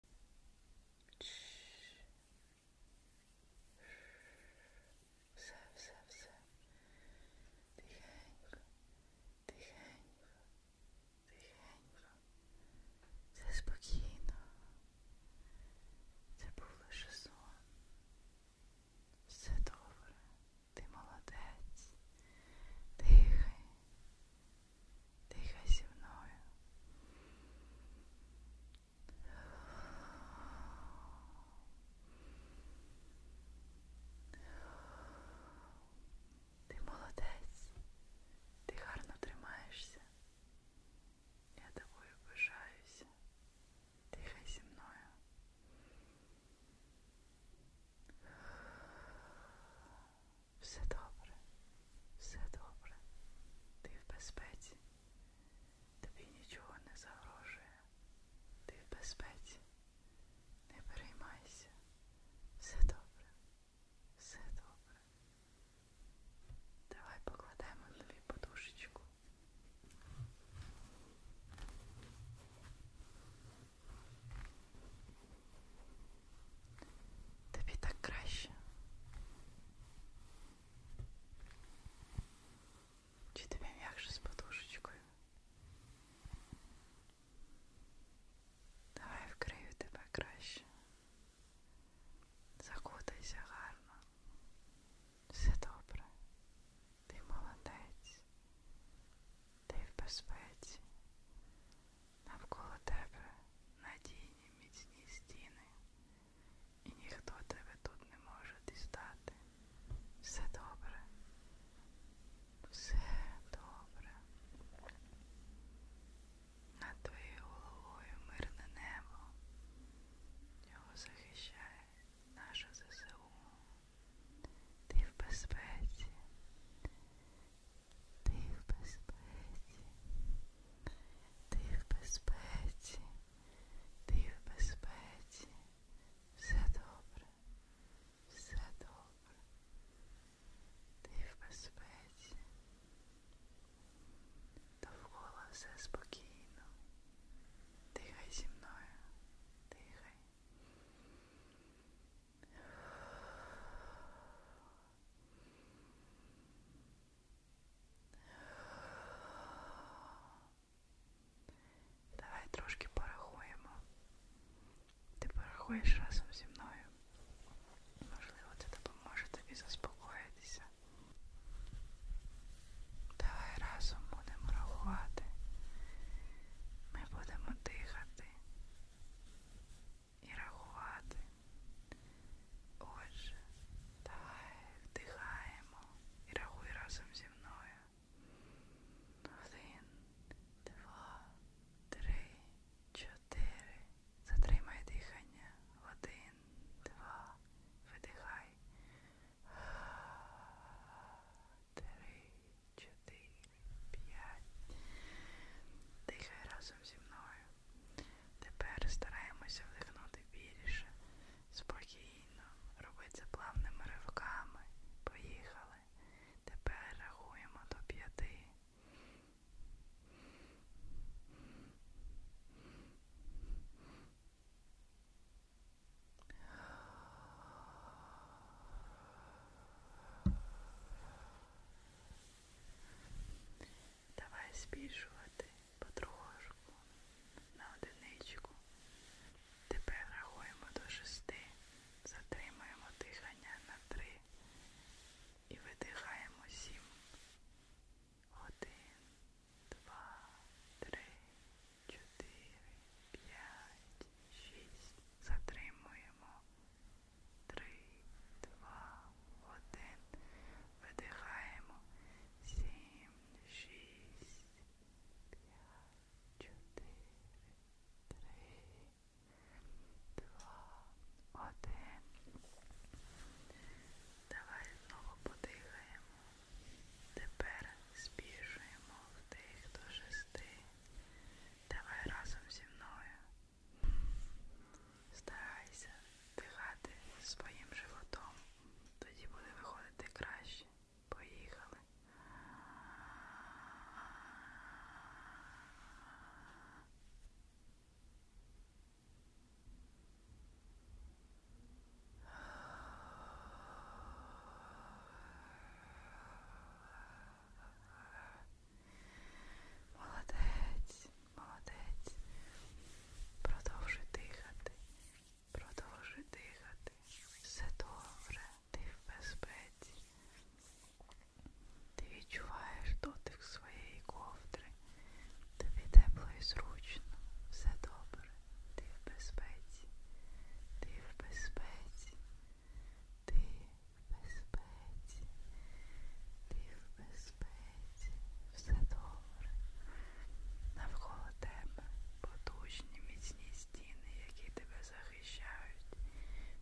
Все, все, все. Тихенько, тихенько, тихенько. Це спокійно. Це був лише сон. Все добре. Ти молодець. Дихай. Дихай зі мною. Ти молодець, ти гарно тримаєшся. Я тобою пишаюся. Дихай зі мною. Все добре, все добре. Ти в безпеці. Тобі нічого не загрожує. Ти в безпеці. Не переймайся. Все добре. Все добре. Давай покладемо тобі подушечку. Тобі так краще. Чи тобі м'якше з подушечкою? Давай вкрию тебе краще. Закутайся гарно. Все добре. Ти молодець. Ти в безпеці навколо тебе надійні міцні стіни, і ніхто тебе тут не може дістати. Все добре, все добре. Над твоєю головою мирне небо. Його захищає наша ЗСУ. Ти в безпеці. Ти в безпеці, ти в безпеці, ти в безпеці, все добре, все добре, ти в безпеці, довкола все спокійно, дихай зі мною, дихай. Давай трошки порахуємо. Ти порахуєш разом зі мною. Можливо, це допоможе тобі заспокоїтися. Давай разом будемо рахувати. Ми будемо дихати і рахувати. Отже, давай вдихаємо і рахуй разом зі мною. Один, два, три, чотири. Затримай дихання. Один, два, видихай. Три, чотири, п'ять. Дихай разом зі мною. Тепер стараємося вдихнути більше. Спокійно. Роби це плавними ривками. Поїхали. Тепер рахуємо до п'яти. Давай збільшувати потрошку на одиничку. Тепер рахуємо до шести, затримуємо дихання на три і видихаємо сім. Один, два, три, чотири, п'ять, шість. Затримуємо. Три, два, один. Видихаємо. Сім, шість, п'ять, чотири, три, два, один. Давай знову подихаємо. Тепер спішуємо вдих до шести. Давай разом зі мною. Старайся дихати своїм животом. Тоді буде виходити краще. Поїхали. Вдих. Молодець, молодець. Продовжуй дихати. Продовжуй дихати. Все добре, ти в безпеці. Ти відчуваєш дотик своєї ковдри. Тобі тепло і зручно. Все добре. Ти в безпеці. Ти в безпеці. Ти в безпеці, ти в безпеці, все добре. Навколо тебе потужні міцні стіни, які тебе захищають.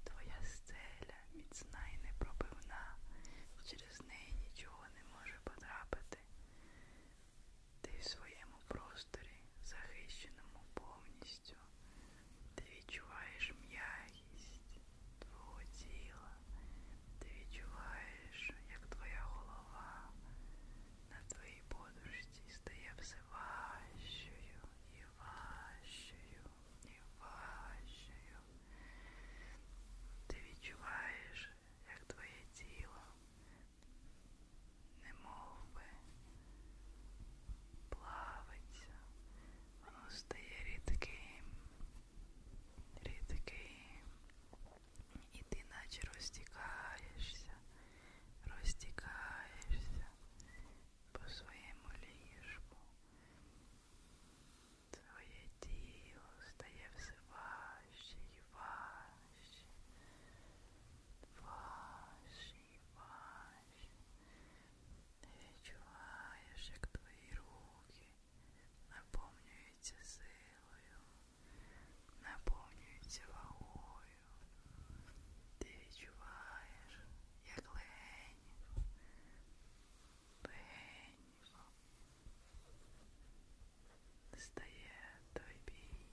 Твоя стеля міцна і непробивна. Через неї нічого не може потрапити. Ти в своєму просторі захищеному повністю ти відчуваєш м'якість твого тіла, ти відчуваєш, як твоя голова на твоїй подушці стає все важчою і важчою і важчою. Ти відчуваєш, як твоє тіло не мов би плавиться, воно стає рідким, рідким, і ти наче розтікаєшся, розтікаєшся по своєму ліжку. Твоє тіло стає все важче і важче, важче ваш. Ти відчуваєш, як твої руки наповнюються силою, наповнюються вагою. Ти відчуваєш, як легенько, легенько стає той бій,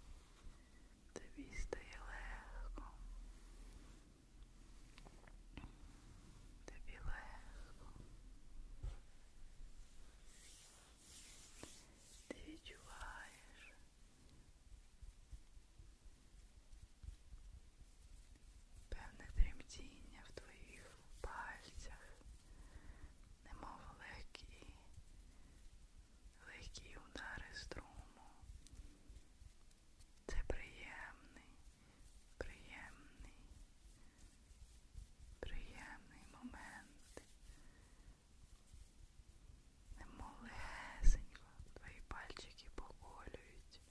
тобі стає легко. Тобі легко. Ти відчуваєш, певне тремтіння в твоїх пальцях, немов легкі легкі удари струму. Це приємний, приємний, приємний момент. Немолесенько твої пальчики поколюють.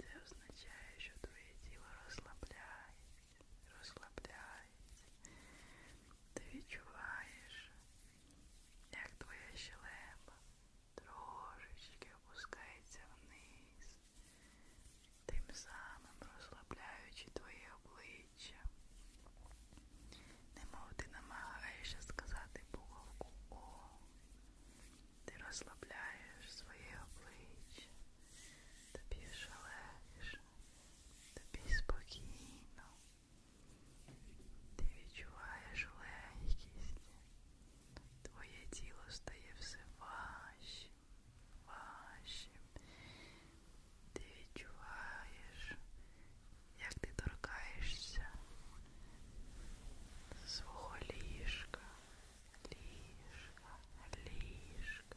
Це означає, що твоє тіло розслабляється, розслабляється. Ти відчуваєш, як твоя щелепа трошечки опускається вниз, тим самим розслабляючи твоє обличчя. Немов ти намагаєшся сказати буковку О. Ти розслабляєш своє обличчя, тобі шалеш, тобі спокійно. Ти відчуваєш легкість, твоє тіло стає все важчим, важчим. Ти відчуваєш, як ти торкаєшся свого ліжка, ліжка, ліжка.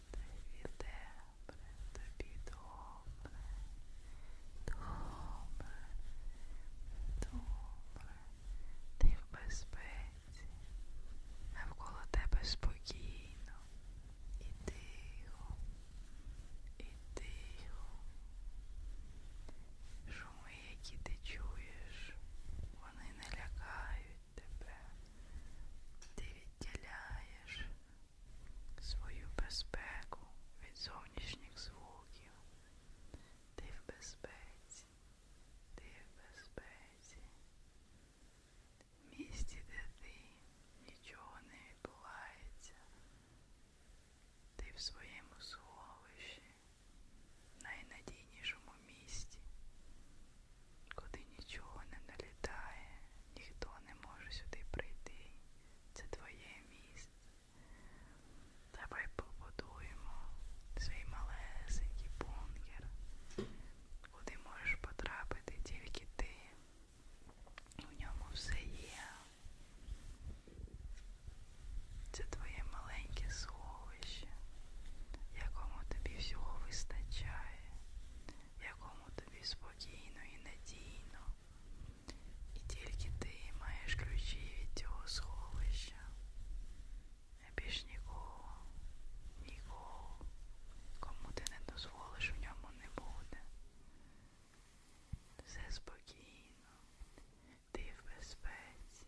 Тобі добре, тобі добре, добре, добре, ти в безпеці, навколо тебе спокійно, і тихо, і тихо. Шуми, які ти чуєш, вони не лякають тебе. Ти відділяєш свою безпеку від зовнішніх звуків. Ти в безпеці, ти в безпеці. В місті, де ти нічого не відбувається. Ти в своєму сховищі, найнадійнішому місці, куди нічого не налітає, ніхто не може сюди прийти. Це твоє місце. Давай побудуємо свій малесенький бункер, куди можеш потрапити тільки ти. У ньому все є. Це твоє маленьке слово сховище, якому тобі всього вистачає, якому тобі спокійно і надійно. І тільки ти маєш ключі від цього сховища. Більш нікого, нікого, кому ти не дозволиш в ньому не буде. Все спокійно, ти в безпеці.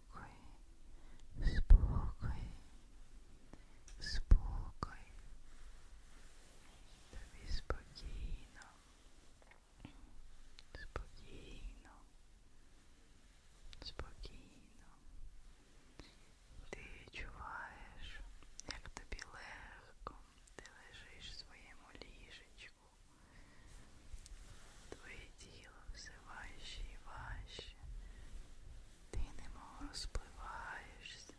спокій, спокій, спокій. Тобі спокійно, спокійно, спокійно. Ти відчуваєш, як тобі легко, ти лежиш в своєму ліжечку. Твої діти тіло все важче і важче. Ти немов розпливаєшся,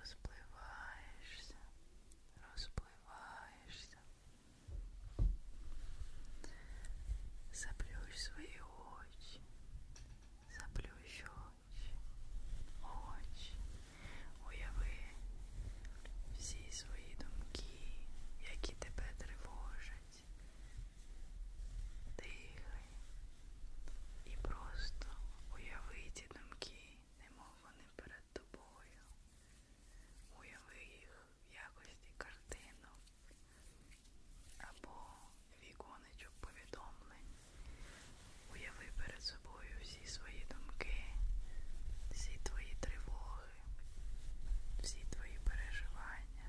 розпливаєшся, розпливаєшся. Заплющ свої очі, заплющ очі, очі, уяви всі свої думки, які тебе тривожать дихай і просто уяви ці думки, немов вони перед тобою. Уяви їх в якості картинок або віконечок повідомлень. Уяви перед собою всі свої думки, всі твої тривоги, всі твої переживання.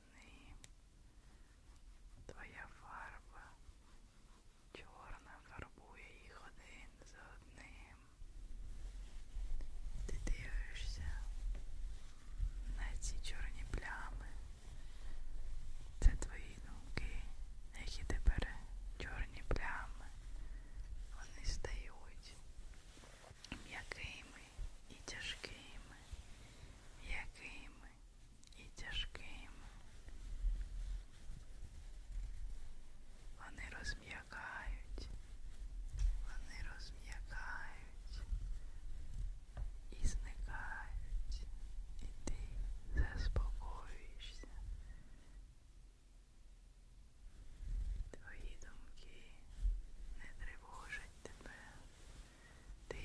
выходные. Твоя фарба чорна фарбує їх один за одним. Ти дивишся на ці чорні плями. Це твої думки, які тепер чорні плями. Вони стають м'якими і тяжкими, м'якими і тяжким. Вони розм'якають, вони розм'якають і зникають, і ти заспокоюєшся. Твої думки не тривожать тебе. Ти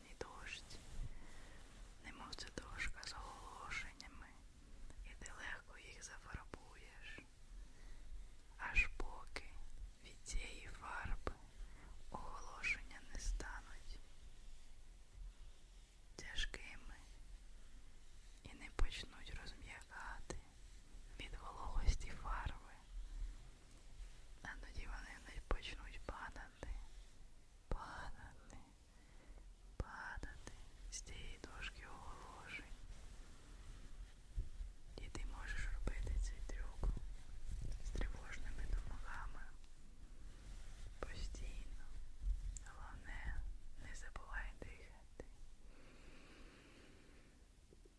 міцний дощ, немов це дошка з оголошеннями, і ти легко їх зафарбуєш, аж поки від цієї фарби оголошення не стануть тяжкими і не почнуть розм'якати від вологості фарби, а тоді вони почнуть падати, падати, падати з цієї дошки оголошень. І ти можеш робити цей трюк з тривожними думками. Постійно. Головне, не забувай дихати.